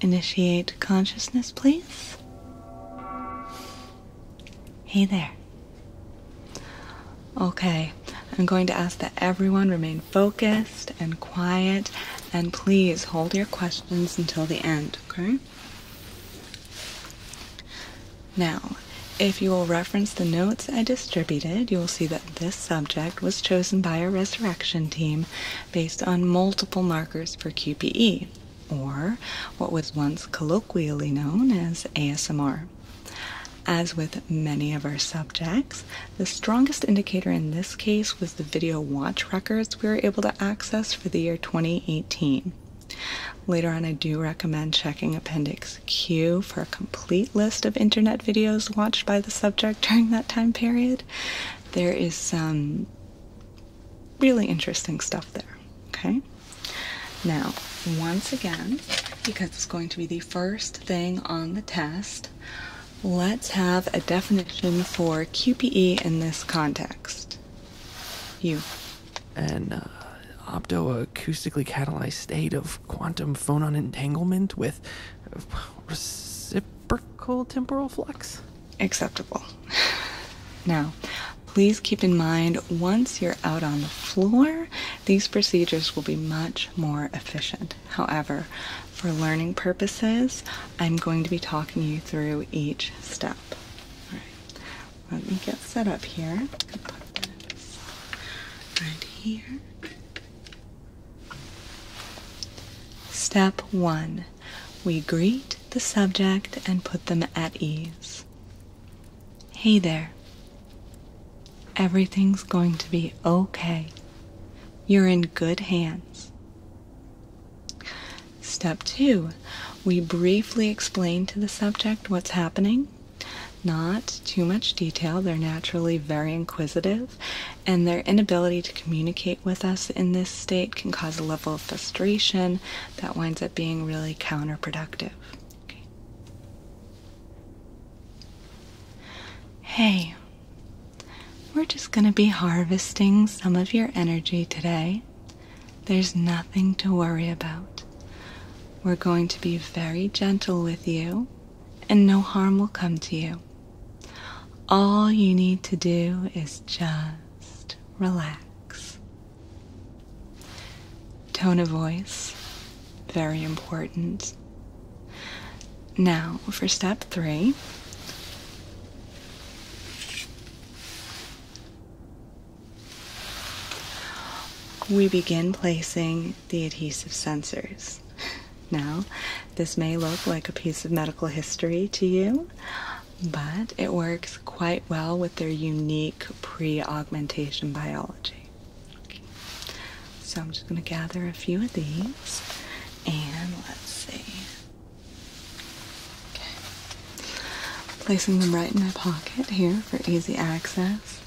Initiate consciousness, please. Hey there. Okay, I'm going to ask that everyone remain focused and quiet and please hold your questions until the end, okay? Now, if you will reference the notes I distributed, you will see that this subject was chosen by a resurrection team based on multiple markers for QPE, or what was once colloquially known as ASMR. As with many of our subjects, the strongest indicator in this case was the video watch records we were able to access for the year 2018. Later on, I do recommend checking Appendix Q for a complete list of internet videos watched by the subject during that time period. There is some really interesting stuff there, okay? Now, once again, because it's going to be the first thing on the test, Let's have a definition for QPE in this context. You. An uh, optoacoustically catalyzed state of quantum phonon entanglement with reciprocal temporal flux? Acceptable. Now, please keep in mind once you're out on the floor, these procedures will be much more efficient. However, for learning purposes, I'm going to be talking you through each step. All right, let me get set up here. right here. Step one we greet the subject and put them at ease. Hey there. Everything's going to be okay. You're in good hands. Step two, we briefly explain to the subject what's happening. Not too much detail, they're naturally very inquisitive, and their inability to communicate with us in this state can cause a level of frustration that winds up being really counterproductive. Hey, we're just going to be harvesting some of your energy today. There's nothing to worry about. We're going to be very gentle with you, and no harm will come to you. All you need to do is just relax. Tone of voice, very important. Now, for step three, we begin placing the adhesive sensors. Now, this may look like a piece of medical history to you, but it works quite well with their unique pre augmentation biology. So I'm just going to gather a few of these and let's see. Okay. Placing them right in my pocket here for easy access.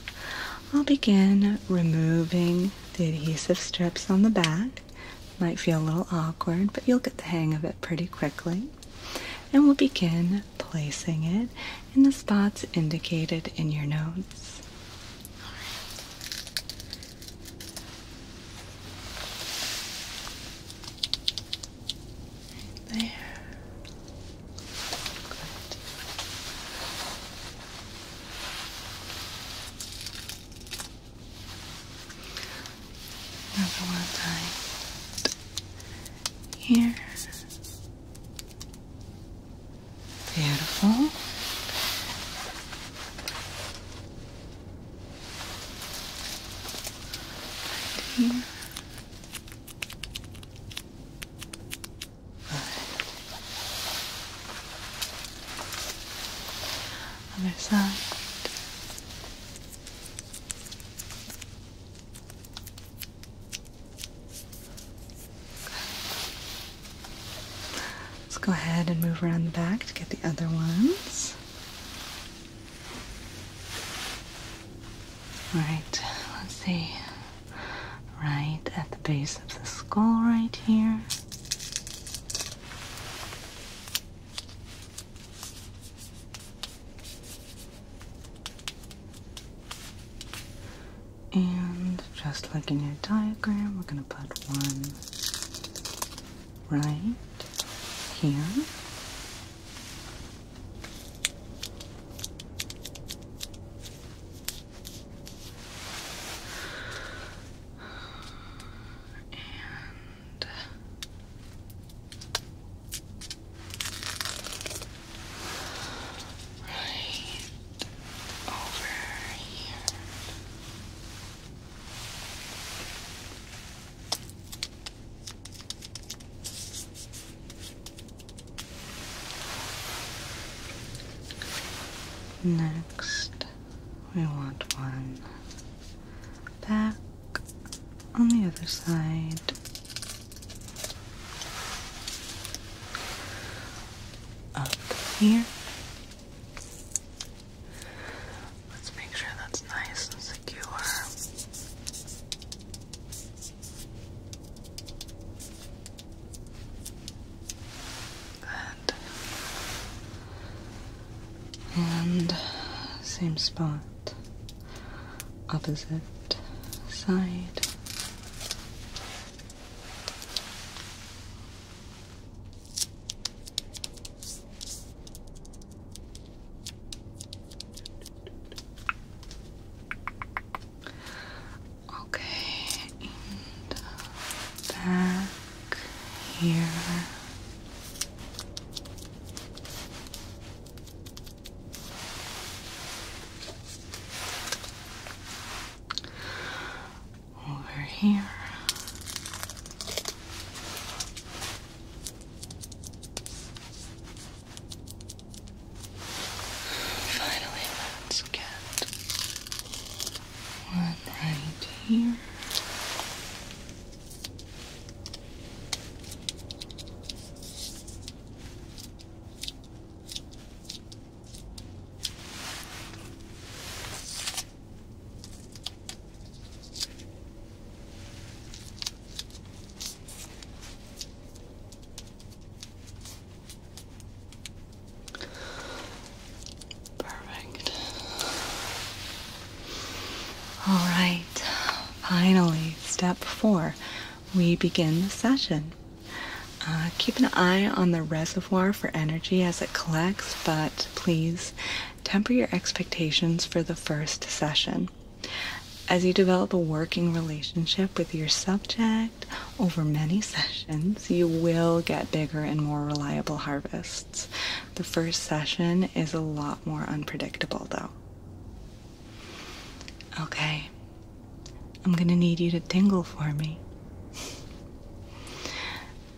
I'll begin removing the adhesive strips on the back. Might feel a little awkward, but you'll get the hang of it pretty quickly. And we'll begin placing it in the spots indicated in your notes. All right there. Another one here. Beautiful. here. Good. Other side. Let's go ahead and move around the back to get the other ones. Alright, let's see. Right at the base of the skull, right here. And just like in your diagram, we're going to put one right here. And right over here. Next, we want one back on the other side. Up here Let's make sure that's nice and secure. And same spot, opposite side. Okay, uh, back here over here. Finally, let's get one right here. Perfect. All right, finally, step four. We begin the session. Uh, keep an eye on the reservoir for energy as it collects, but please temper your expectations for the first session. As you develop a working relationship with your subject over many sessions, you will get bigger and more reliable harvests. The first session is a lot more unpredictable, though. Okay, I'm gonna need you to tingle for me.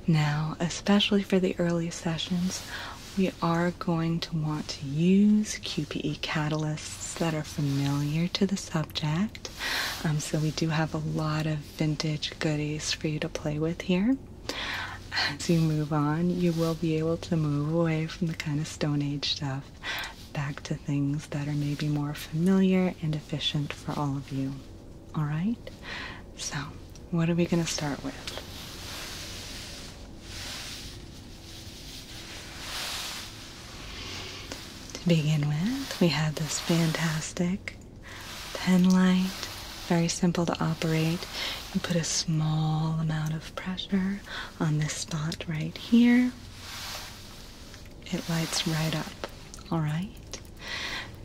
Now, especially for the early sessions, we are going to want to use QPE catalysts that are familiar to the subject. Um, so, we do have a lot of vintage goodies for you to play with here. As you move on, you will be able to move away from the kind of Stone Age stuff back to things that are maybe more familiar and efficient for all of you all right? So, what are we going to start with? To begin with, we have this fantastic pen light, very simple to operate. You put a small amount of pressure on this spot right here. It lights right up, all right?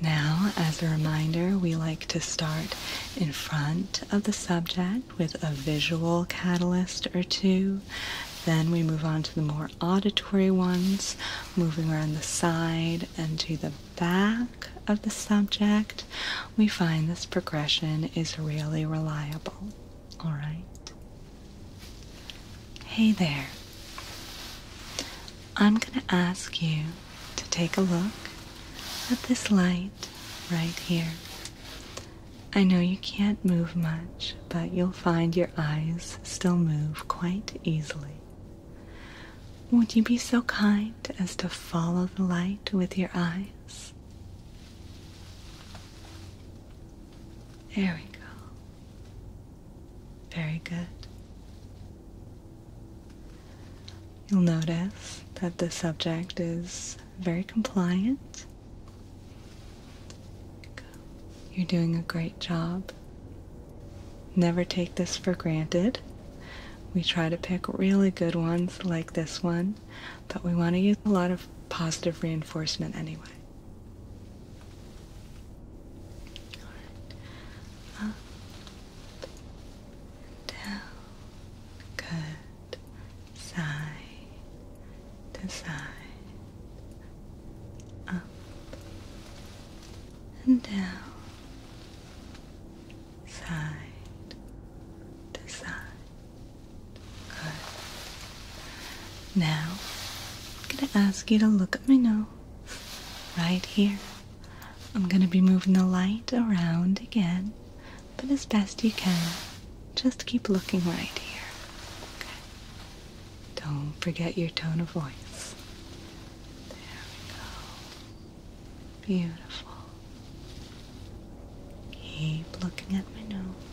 Now, as a reminder, we like to start in front of the subject with a visual catalyst or two. Then we move on to the more auditory ones, moving around the side and to the back of the subject. We find this progression is really reliable. All right. Hey there. I'm going to ask you to take a look at this light right here. I know you can't move much, but you'll find your eyes still move quite easily. Would you be so kind as to follow the light with your eyes? There we go. Very good. You'll notice that the subject is very compliant. You're doing a great job. Never take this for granted. We try to pick really good ones like this one, but we want to use a lot of positive reinforcement anyway down, good, side to side, up and down, side to side, good. Now, I'm going to ask you to look at my nose right here. I'm going to be moving the light around again, but as best you can, just keep looking right here. Don't forget your tone of voice. There we go. Beautiful. Keep looking at my nose.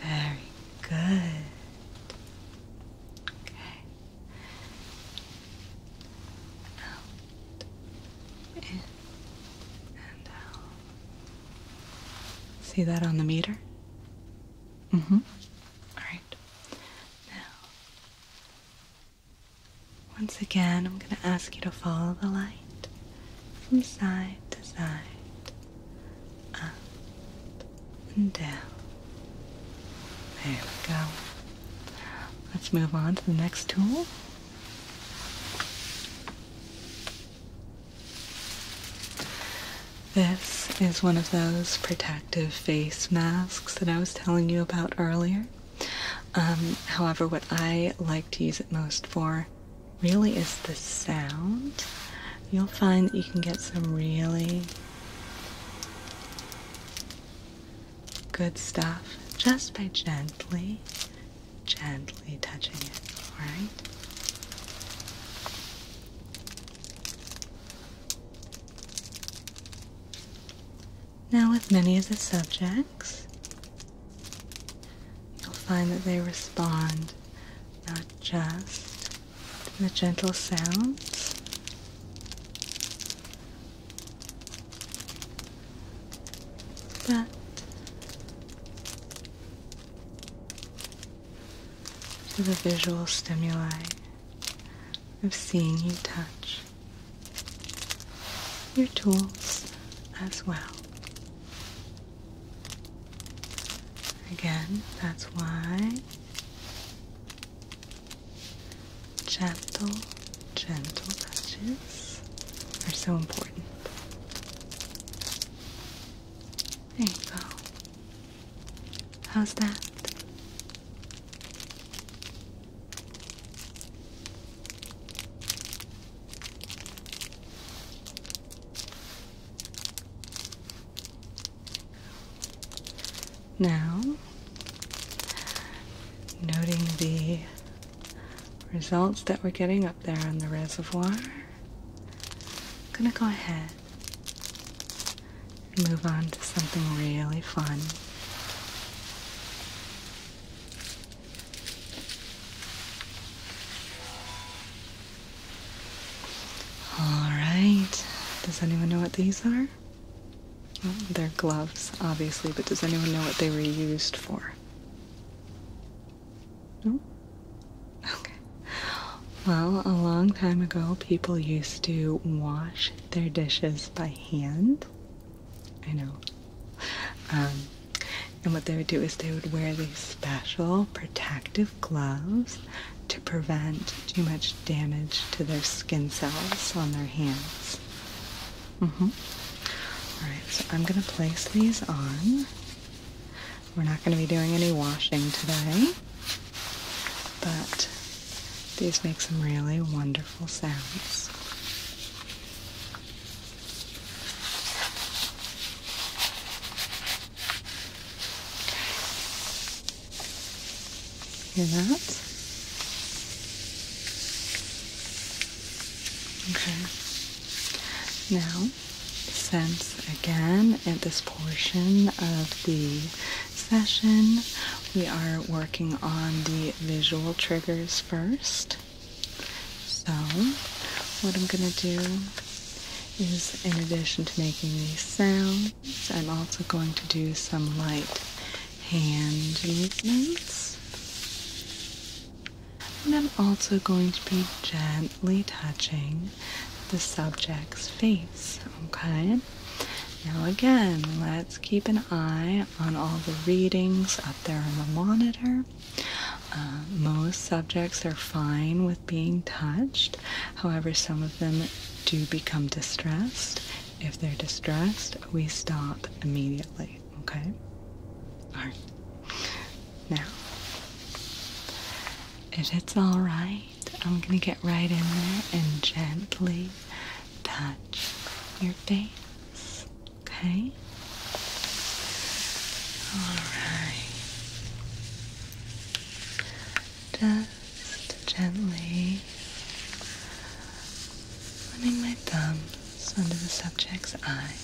Very good. Okay out, in, and out. See that on the meter? Mm-hmm. All right. Now, once again, I'm going to ask you to follow the light from side to side, up and down. There we go. Let's move on to the next tool. This is one of those protective face masks that I was telling you about earlier. Um, however, what I like to use it most for really is the sound. You'll find that you can get some really good stuff just by gently, gently touching it, alright? Now, with many of the subjects, you'll find that they respond not just to the gentle sounds to the visual stimuli of seeing you touch your tools as well. Again, that's why Gentle, gentle touches are so important. There you go. How's that? Now, noting the results that we're getting up there on the reservoir, I'm going to go ahead and move on to something really fun. All right. Does anyone know what these are? they're gloves, obviously, but does anyone know what they were used for? No? Okay. Well, a long time ago, people used to wash their dishes by hand. I know. Um, and what they would do is they would wear these special protective gloves to prevent too much damage to their skin cells on their hands. Mm-hmm. Alright, so I'm going to place these on. We're not going to be doing any washing today, but these make some really wonderful sounds. Hear that? Okay. Now, since again at this portion of the session we are working on the visual triggers first, so what I'm going to do is, in addition to making these sounds, I'm also going to do some light hand movements. And I'm also going to be gently touching the subject's face, okay? Now again, let's keep an eye on all the readings up there on the monitor. Uh, most subjects are fine with being touched. However, some of them do become distressed if they're distressed, we stop immediately, okay? Alright. Now, if it's alright, I'm gonna get right in there and gently touch your face, okay? Alright. Just just gently running my thumbs under the subject's eye,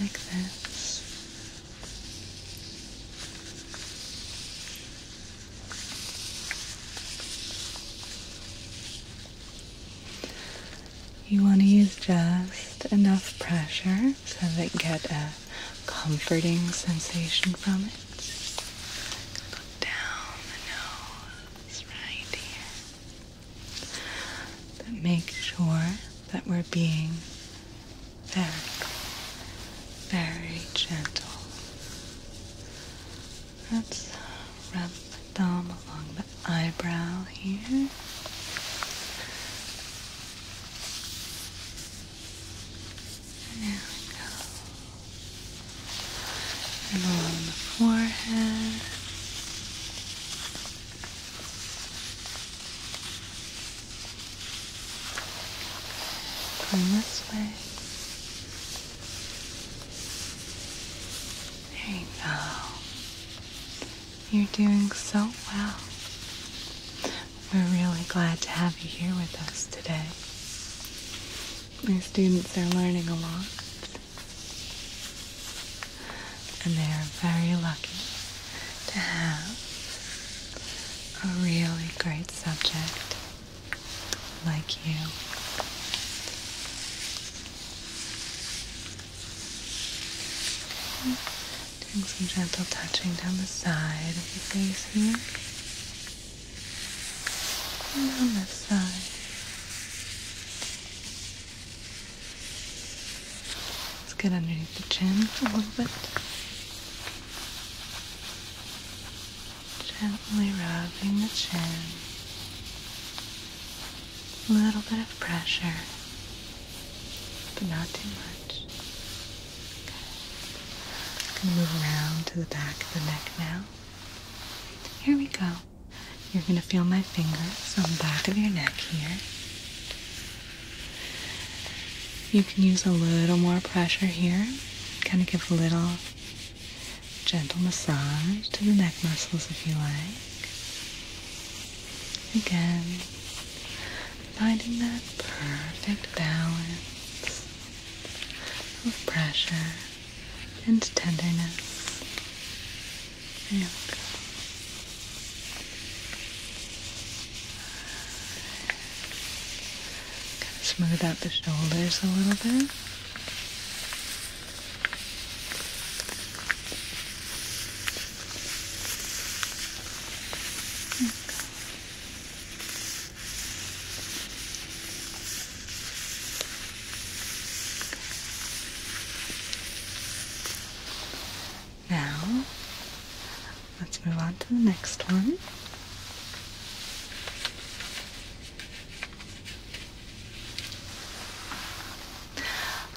like this. You want to use just enough pressure so that you get a comforting sensation from it. down the nose that make sure that we're being very, very gentle. Let's rub the thumb along the eyebrow here. There we go and along the forehead. Going this way. There you go. You're doing so well. We're really glad to have you here with us today. My students are learning a lot. And they are very lucky to have a really great subject like you. Doing some gentle touching down the side of your face here on this side. Let's get underneath the chin a little bit. Gently rubbing the chin. A little bit of pressure, but not too much. Okay. I'm gonna move around to the back of the neck now. Here we go you're going to feel my fingers on the back of your neck here. You can use a little more pressure here, kind of give a little gentle massage to the neck muscles if you like. Again, finding that perfect balance of pressure and tenderness. There we go. Kind of smooth out the shoulders a little bit. Now, let's move on to the next one.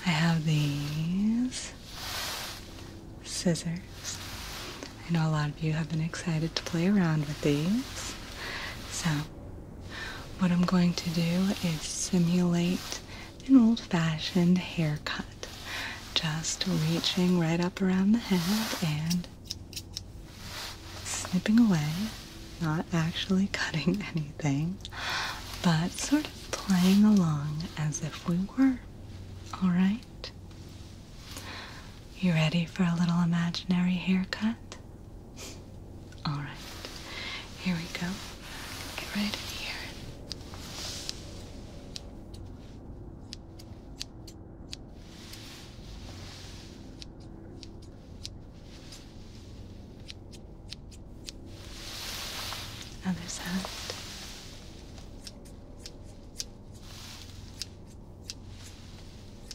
I have these scissors. I know a lot of you have been excited to play around with these, so what I'm going to do is simulate an old-fashioned haircut. Just reaching right up around the head and snipping away, not actually cutting anything, but sort of playing along as if we were. Alright? You ready for a little imaginary haircut? All right. Here we go. Get right in here. Other side.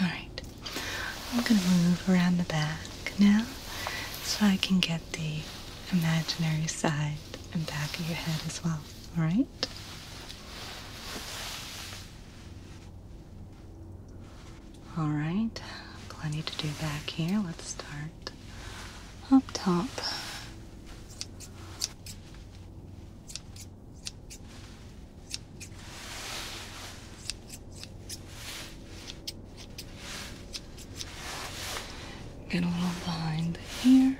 All right. I'm going to move around the back now so I can get the imaginary side and back of your head as well. All right? All right. Plenty to do back here. Let's start that up top. Get a little behind here.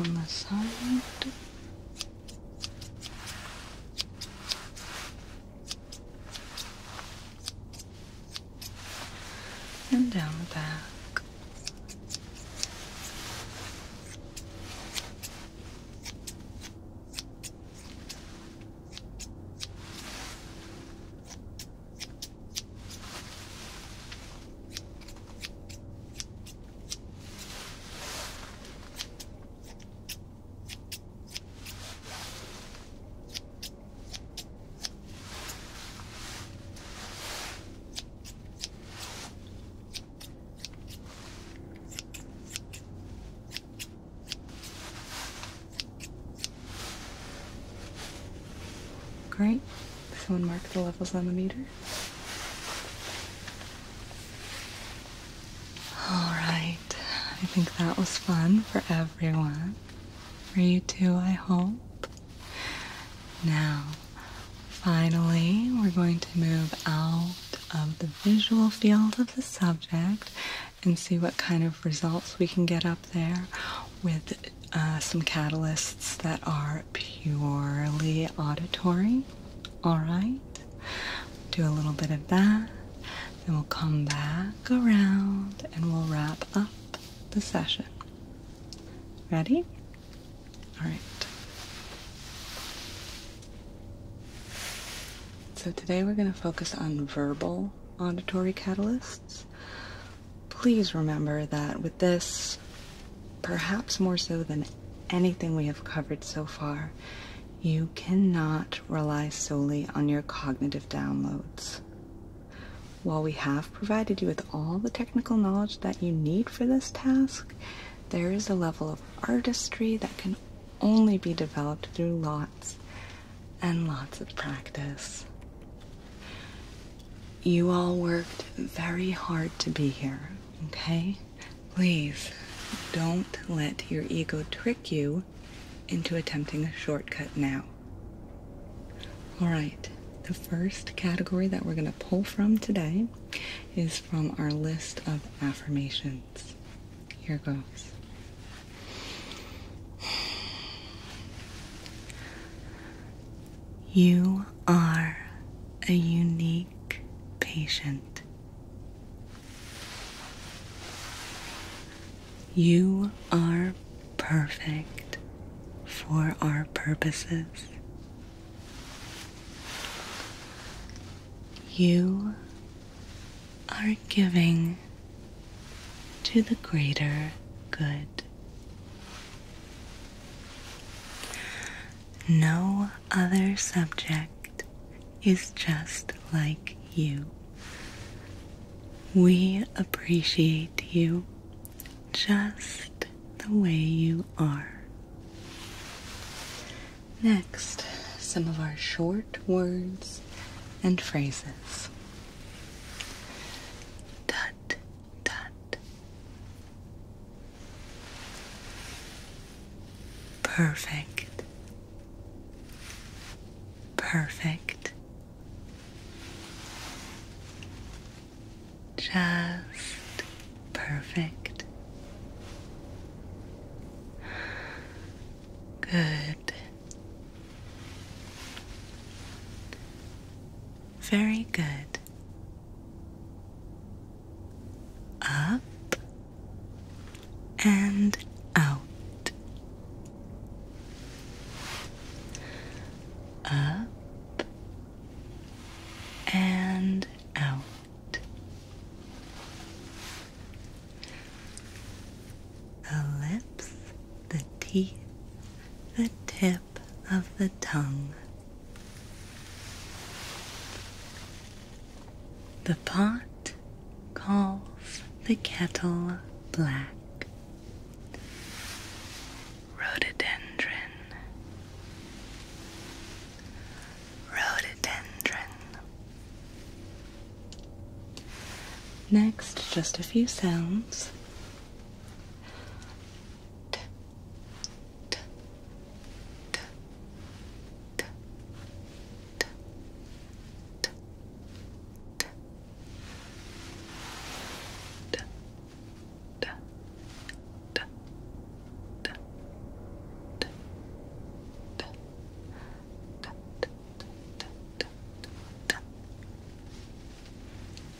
On the side and down the back. Great. Someone marked the levels on the meter. All right. I think that was fun for everyone. For you too, I hope. Now, finally, we're going to move out of the visual field of the subject and see what kind of results we can get up there with uh, some catalysts that are purely auditory. All right. Do a little bit of that. Then we'll come back around and we'll wrap up the session. Ready? All right. So today we're going to focus on verbal auditory catalysts. Please remember that with this perhaps more so than anything we have covered so far, you cannot rely solely on your cognitive downloads. While we have provided you with all the technical knowledge that you need for this task, there is a level of artistry that can only be developed through lots and lots of practice. You all worked very hard to be here, okay? Please don't let your ego trick you into attempting a shortcut now. All right, the first category that we're going to pull from today is from our list of affirmations. Here goes. You are a unique patient. You are perfect for our purposes. You are giving to the greater good. No other subject is just like you. We appreciate you just the way you are. Next, some of our short words and phrases. Tut, tut. Perfect. Perfect. Just perfect. Good. Very good up and out, up and out. The lips, the teeth, the tip of the tongue. The pot calls the kettle black. Rhododendron. Rhododendron. Next, just a few sounds.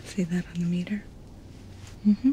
See that on the meter? Mm-hmm.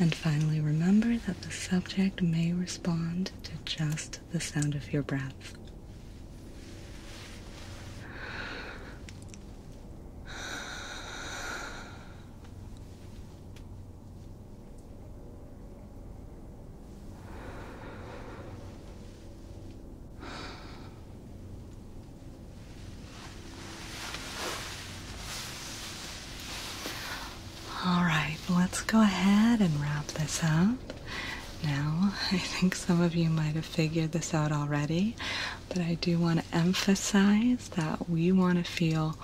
And finally, remember that the subject may respond to just the sound of your breath. All right, let's go ahead and wrap this up. Now, I think some of you might have figured this out already, but I do want to emphasize that we want to feel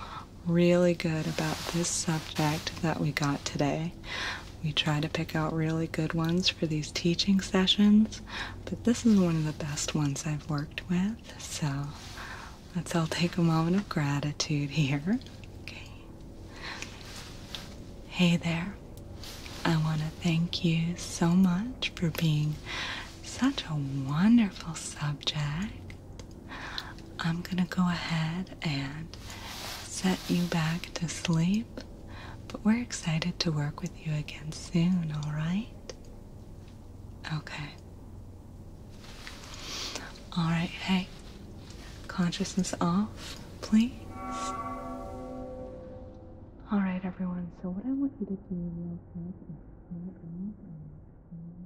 really good about this subject that we got today. We try to pick out really good ones for these teaching sessions, but this is one of the best ones I've worked with. So let's all take a moment of gratitude here. Hey there. I want to thank you so much for being such a wonderful subject. I'm gonna go ahead and set you back to sleep, but we're excited to work with you again soon, alright? Okay. Alright, hey, consciousness off, please. Alright, everyone, so what I want you to do real quick is clear out and